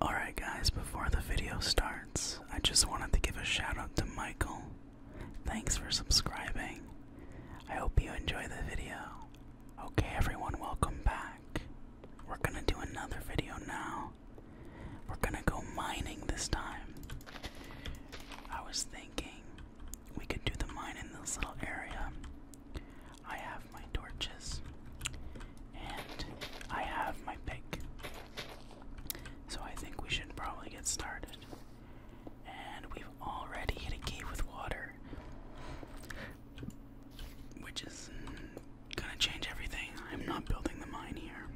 Alright, guys, before the video starts, I just wanted to give a shout out to Michael. Thanks for subscribing. I hope you enjoy the video. Okay, everyone, welcome back. We're gonna do another video now. We're gonna go mining this time. I was thinking we could do the mine in this little area. I have my torches and I have my pick. So I think we should probably get started. And we've already hit a cave with water, which is gonna change everything. I'm not building the mine here.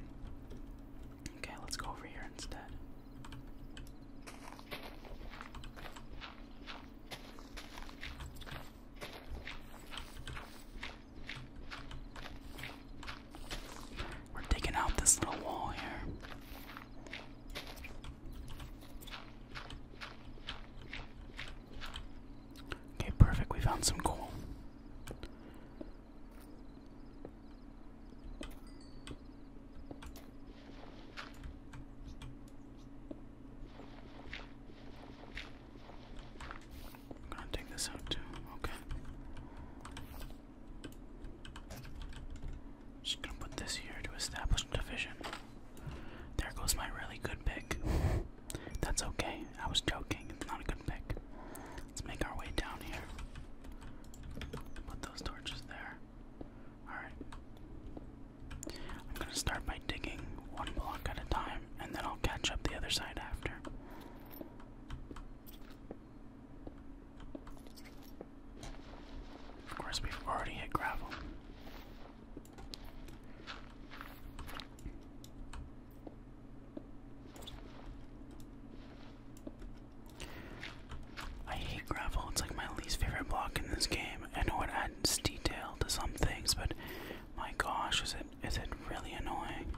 Okay, let's go over here instead. We're digging out this little wall here. Okay, perfect. We found some coal. I'm gonna take this out too, okay. Just gonna put this here to establish division. There goes my really good pick. That's okay, I was joking, it's not a good pick. Let's make our way down here. Put those torches there. Alright. I'm gonna start by digging one block at a time, and then I'll catch up the other side after. Of course, we've already hit gravel. I hate gravel, it's like my least favorite block in this game. I know it adds detail to some things, but my gosh, is it is it really annoying?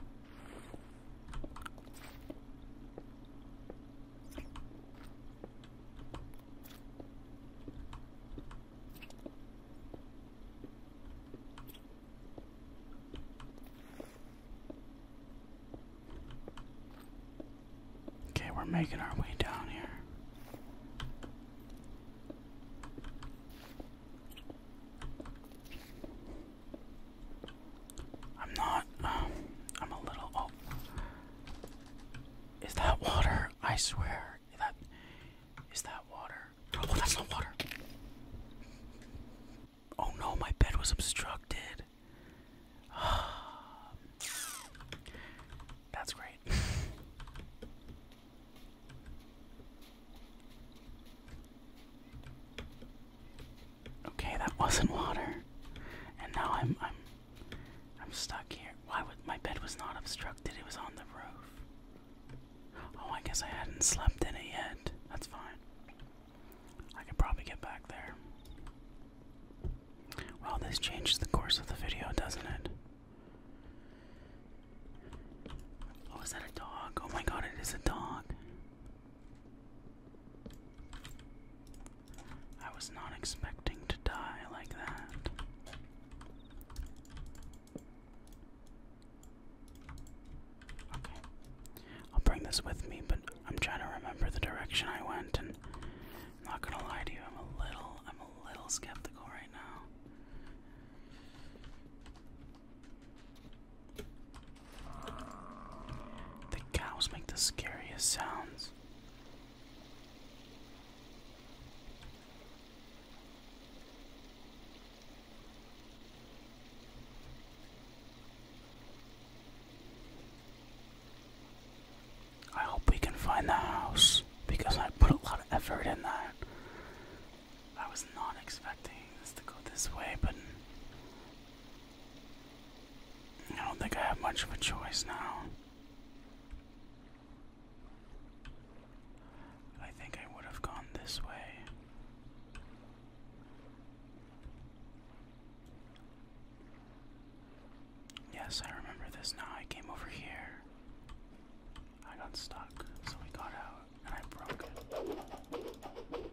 Okay, we're making our way down here. I'm not, um, I'm a little, oh. Is that water? I swear. That, is that water? Oh, that's not water. Oh no, my bed was obstructed. that's great. Okay, that wasn't water. And now I'm I'm I'm stuck here. Why would my bed was not obstructed, it was on the roof. Oh I guess I hadn't slept in it yet. That's fine. I could probably get back there. Well, this changes the course of the video, doesn't it? Oh, is that a dog? Oh my god, it is a dog. I was not expecting to die like that. Okay. I'll bring this with me, but I'm trying to remember the direction I went and I'm not gonna lie to you, I'm a little I'm a little skeptical right now. The cows make the scariest sounds. I hope we can find the house because I put a lot of effort in that. I was not expecting this to go this way, but I don't think I have much of a choice now. I think I would have gone this way. Yes, I remember this now. I came over here. I got stuck, so we got out and I broke it.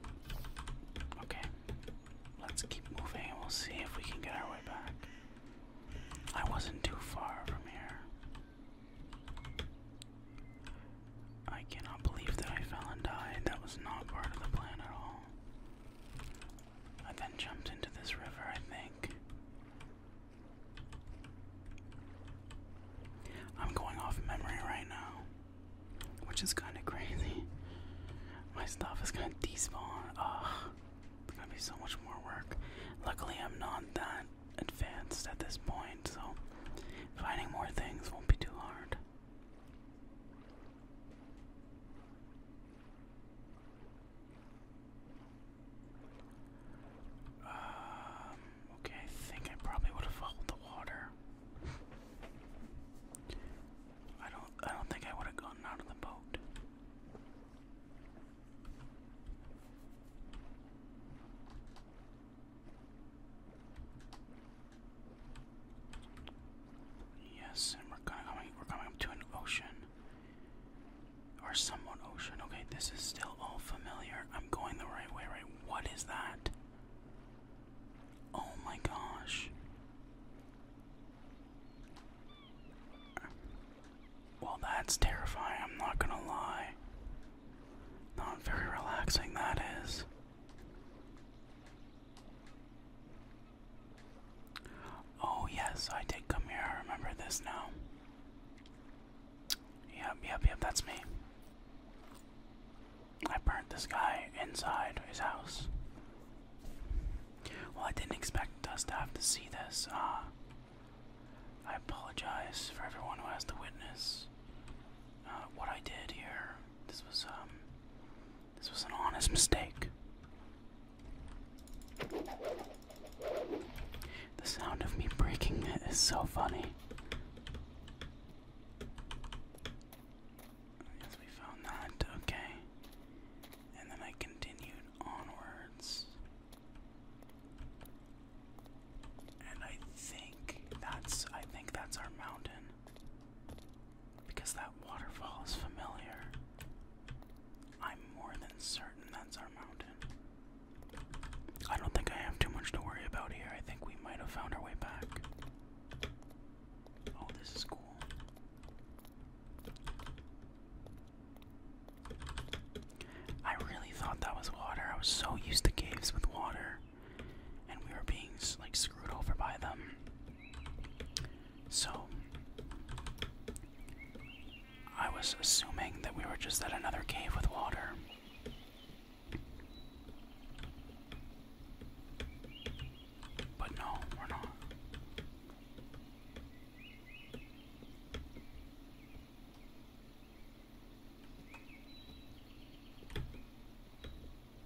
Okay, let's keep moving and we'll see if we can get our way back. I wasn't too far from here. I cannot believe that I fell and died. That was not part of the plan at all. I then jumped into this river, I think. I'm going off memory right now, which is kind of crazy. My stuff is gonna despawn. Ugh, it's gonna be so much more work. Luckily, I'm not that advanced at this point, so finding more things won't be too hard. Um, okay, I think I probably would have followed the water. I don't I don't think I would have gotten out of the boat. Yes, and we're coming we're coming up to an ocean. Or somewhat ocean. Okay, this is still all familiar. I'm going the right way, right? What is that? Oh my gosh. Well, that's terrifying, I'm not gonna lie. Not very relaxing, that is. Oh, yes, I did come here. I remember this now. Yeah, yep, yep, that's me. I burnt this guy inside his house. Well, I didn't expect us to have to see this. Uh, I apologize for everyone who has to witness uh, what I did here. This was um, this was an honest mistake. The sound of me breaking it is so funny. I we found that, okay. And then I continued onwards. And I think that's I think that's our mountain. Because that waterfall is familiar. I'm more than certain that's our mountain. I don't think I have too much to worry about here. I think we might have found our way back. Oh, this is cool. I really thought that was water. I was so used to caves with water, and we were being like screwed over by them. So, I was assuming that we were just at another cave with water. But no, we're not.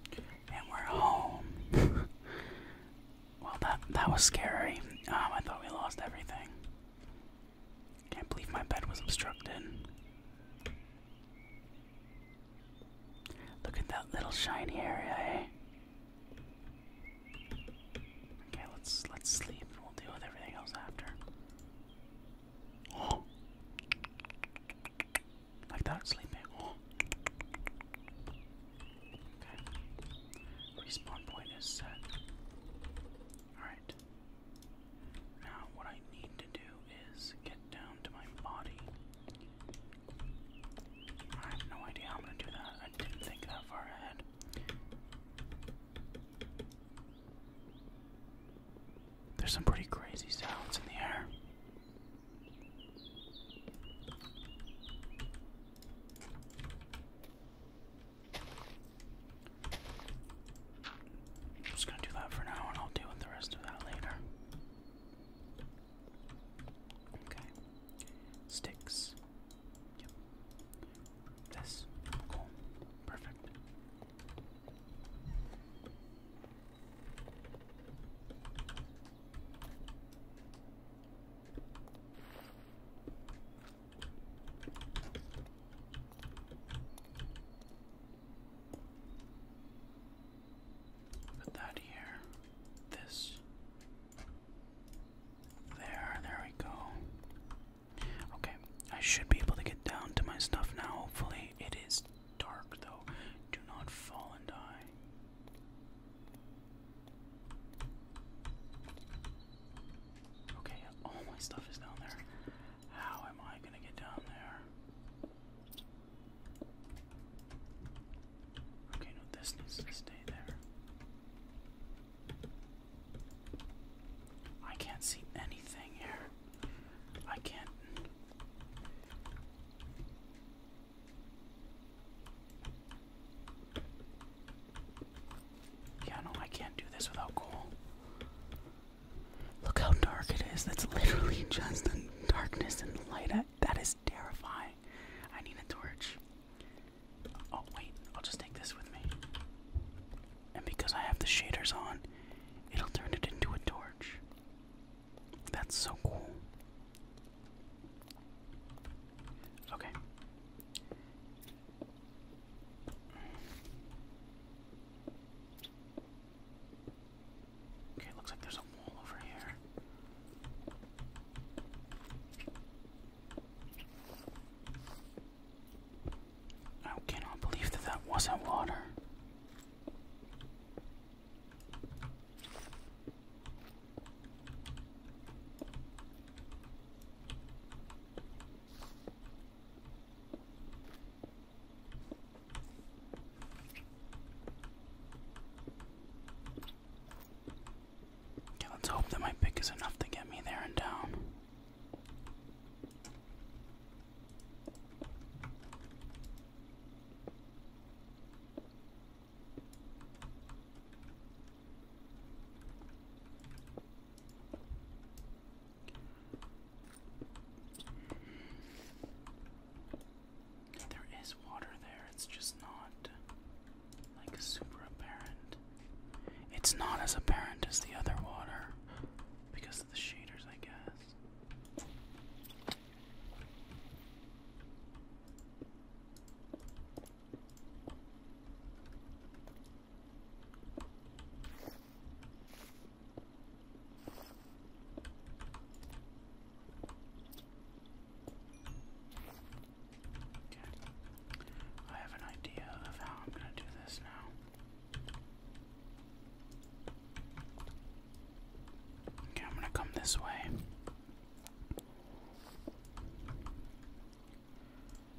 And we're home. Well, that that was scary. Um, I thought we lost everything. Can't believe my bed was obstructed. Look at that little shiny area, eh? Okay, let's let's sleep and we'll deal with everything else after. Like that, sleeping. Respawn point is set. Alright. Now, what I need to do is get down to my body. I have no idea how I'm gonna do that. I didn't think that far ahead. There's some pretty crazy sounds in the air. I'm just gonna do that for now and I'll deal with the rest of that later. Okay. Sticks. Yep. This. Cool. Perfect. Put that here. This. There, there we go. Okay, I should be able to get down to my stuff now. Hopefully, it is dark though. Do not fall and die. Okay, all my stuff is down there. How am I gonna get down there? Okay, no, this needs to stay there. I can't see anything here. I can't. Yeah, no, I can't do this without coal. Look how dark it is. That's literally just the darkness and the light. That is terrifying. I need a torch. Oh, wait, I'll just take this with me. And because I have the shaders on, it'll turn it into a torch. That's so cool. Okay. Okay, looks like there's a wall over here. I cannot believe that that wasn't water let's hope that my pick is enough to get me there and down. There is water there, it's just not like super apparent. It's not as apparent as the other water because of the shaders, I guess. I have an idea of how I'm going to do this now. Okay, I'm going to come this way.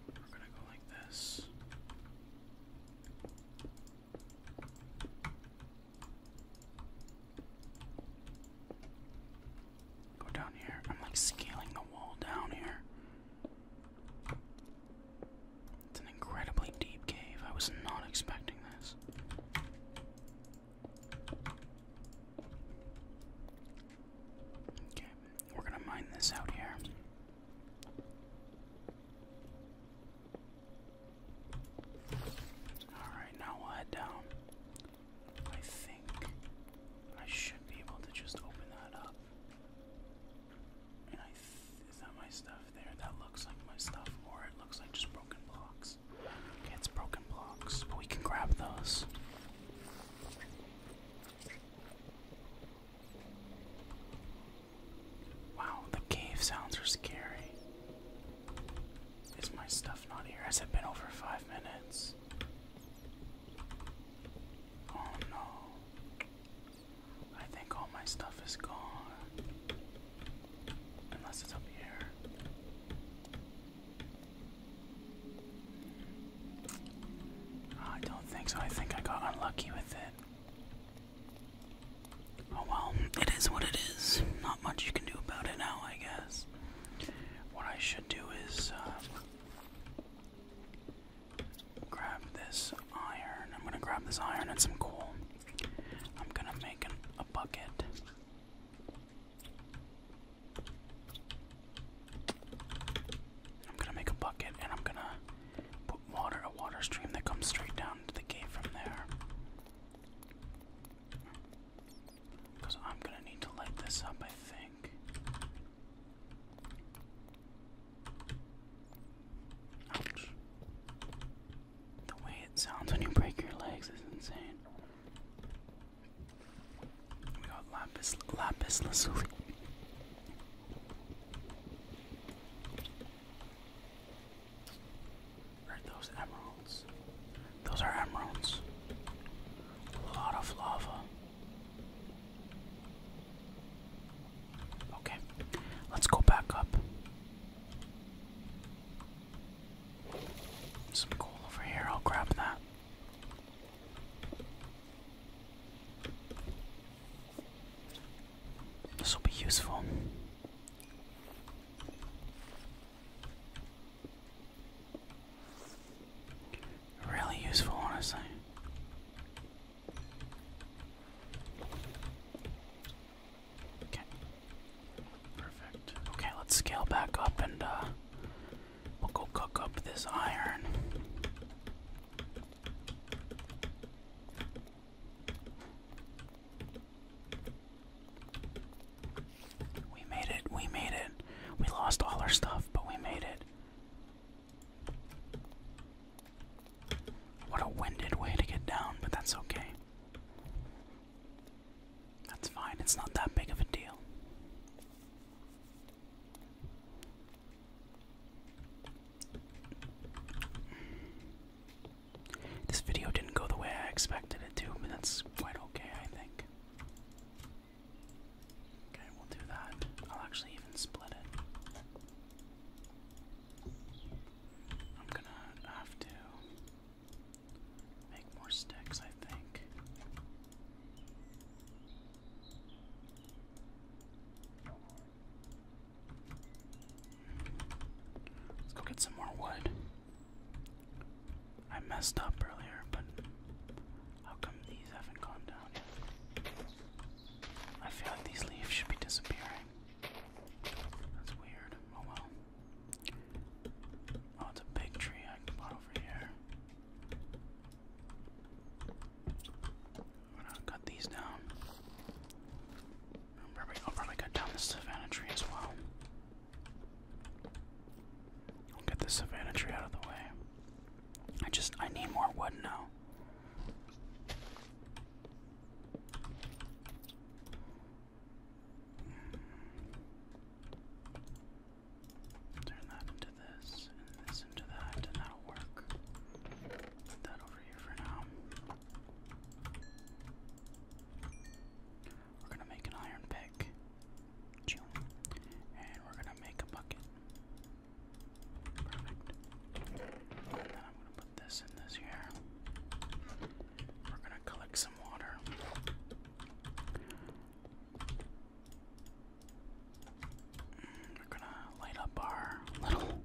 We're gonna go like this. Go down here. I'm like scaling the wall down here. It's an incredibly deep cave. I was not expecting this. Okay, we're gonna mine this out here. Alright, now we'll head down. I think I should be able to just open that up. And I is that my stuff there? That looks like my stuff, or it looks like just broken blocks it's broken blocks, but we can grab those. Wow, the cave sounds are scary. Is my stuff not here? Has it been over five minutes? Oh no. I think all my stuff is gone. Unless it's up here. I don't think so. I think I got unlucky with it. Oh well, it is what it is. Not much you can do about it now, I guess. What I should do is uh, grab this iron. I'm gonna grab this iron and some coal. I'm gonna make a bucket. I'm gonna make a bucket and I'm gonna put water, a water stream that comes straight down to the gate from there. Because I'm gonna need to light this up, I think. Ouch. The way it sounds when you break your legs is insane. We got lapis, lapis lazuli. Are those emeralds? Those are emeralds. A lot of lava. Okay, let's go back up. Some coal over here, I'll grab that. This will be useful. Really useful, honestly. Okay. Perfect. Okay, let's scale back up and uh we'll go cook up this iron. We made it, we made it. We lost all our stuff, but we made it. What a winded way to get down, but that's okay. That's fine, it's not that big of a deal. This video didn't go the way I expected it to, but that's quite okay, I think. Okay, we'll do that. I'll actually even split it. I'm gonna have to. Make more sticks, I think. Let's go get some more wood. I messed up earlier, but how come these haven't gone down yet? I feel like these leaves should be disappearing. That's weird. Oh well. Oh, it's a big tree I can put over here. I'm gonna cut these down. I'll probably, cut down this savannah tree as well. I'll get this savannah tree out of the way. I just, I need more wood now. Turn that into this, and this into that, and that'll work. Put that over here for now. We're gonna make an iron pick. And we're gonna make a bucket. Perfect. And then I'm gonna put this in this here. We're gonna collect some we're gonna light up our little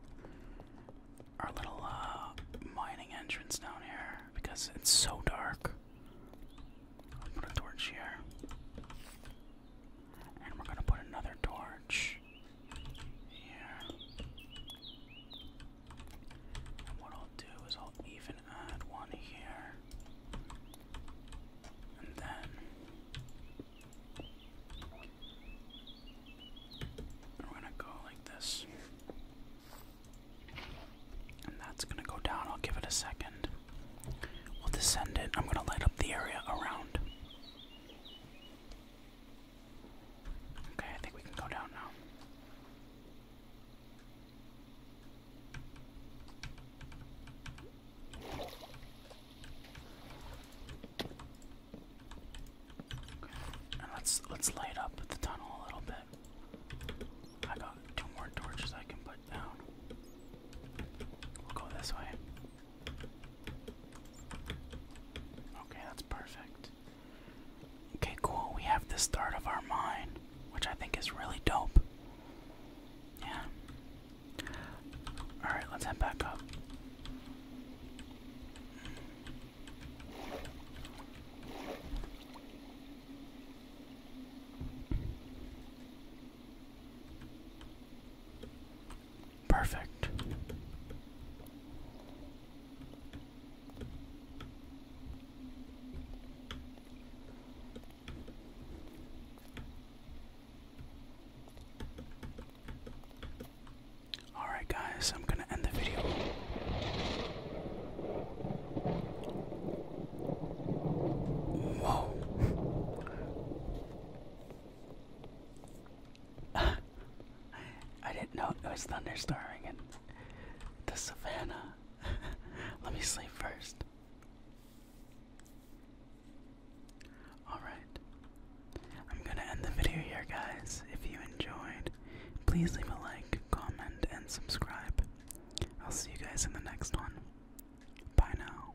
our little uh, mining entrance down here because it's so dark. I'll put a torch here. And we're gonna put another torch here. And what I'll do is I'll even add one here. And then we're gonna go like this. And that's gonna go down. I'll give it a second. We'll descend it. I'm gonna light up the area around. Okay, I think we can go down now. let's let's light up the tunnel a little bit. I got two more torches I can put down. We'll go this way. Okay, that's perfect. Okay, cool. We have the start of our mine, which I think is really dope. Yeah. Alright, let's head back up. Perfect. Alright, guys, I'm going to end the video. Whoa. I didn't know it was thunderstorming in the savannah. Let me sleep first. Alright. I'm gonna end the video here, guys. If you enjoyed, please leave a like, comment, and subscribe. I'll see you guys in the next one. Bye now.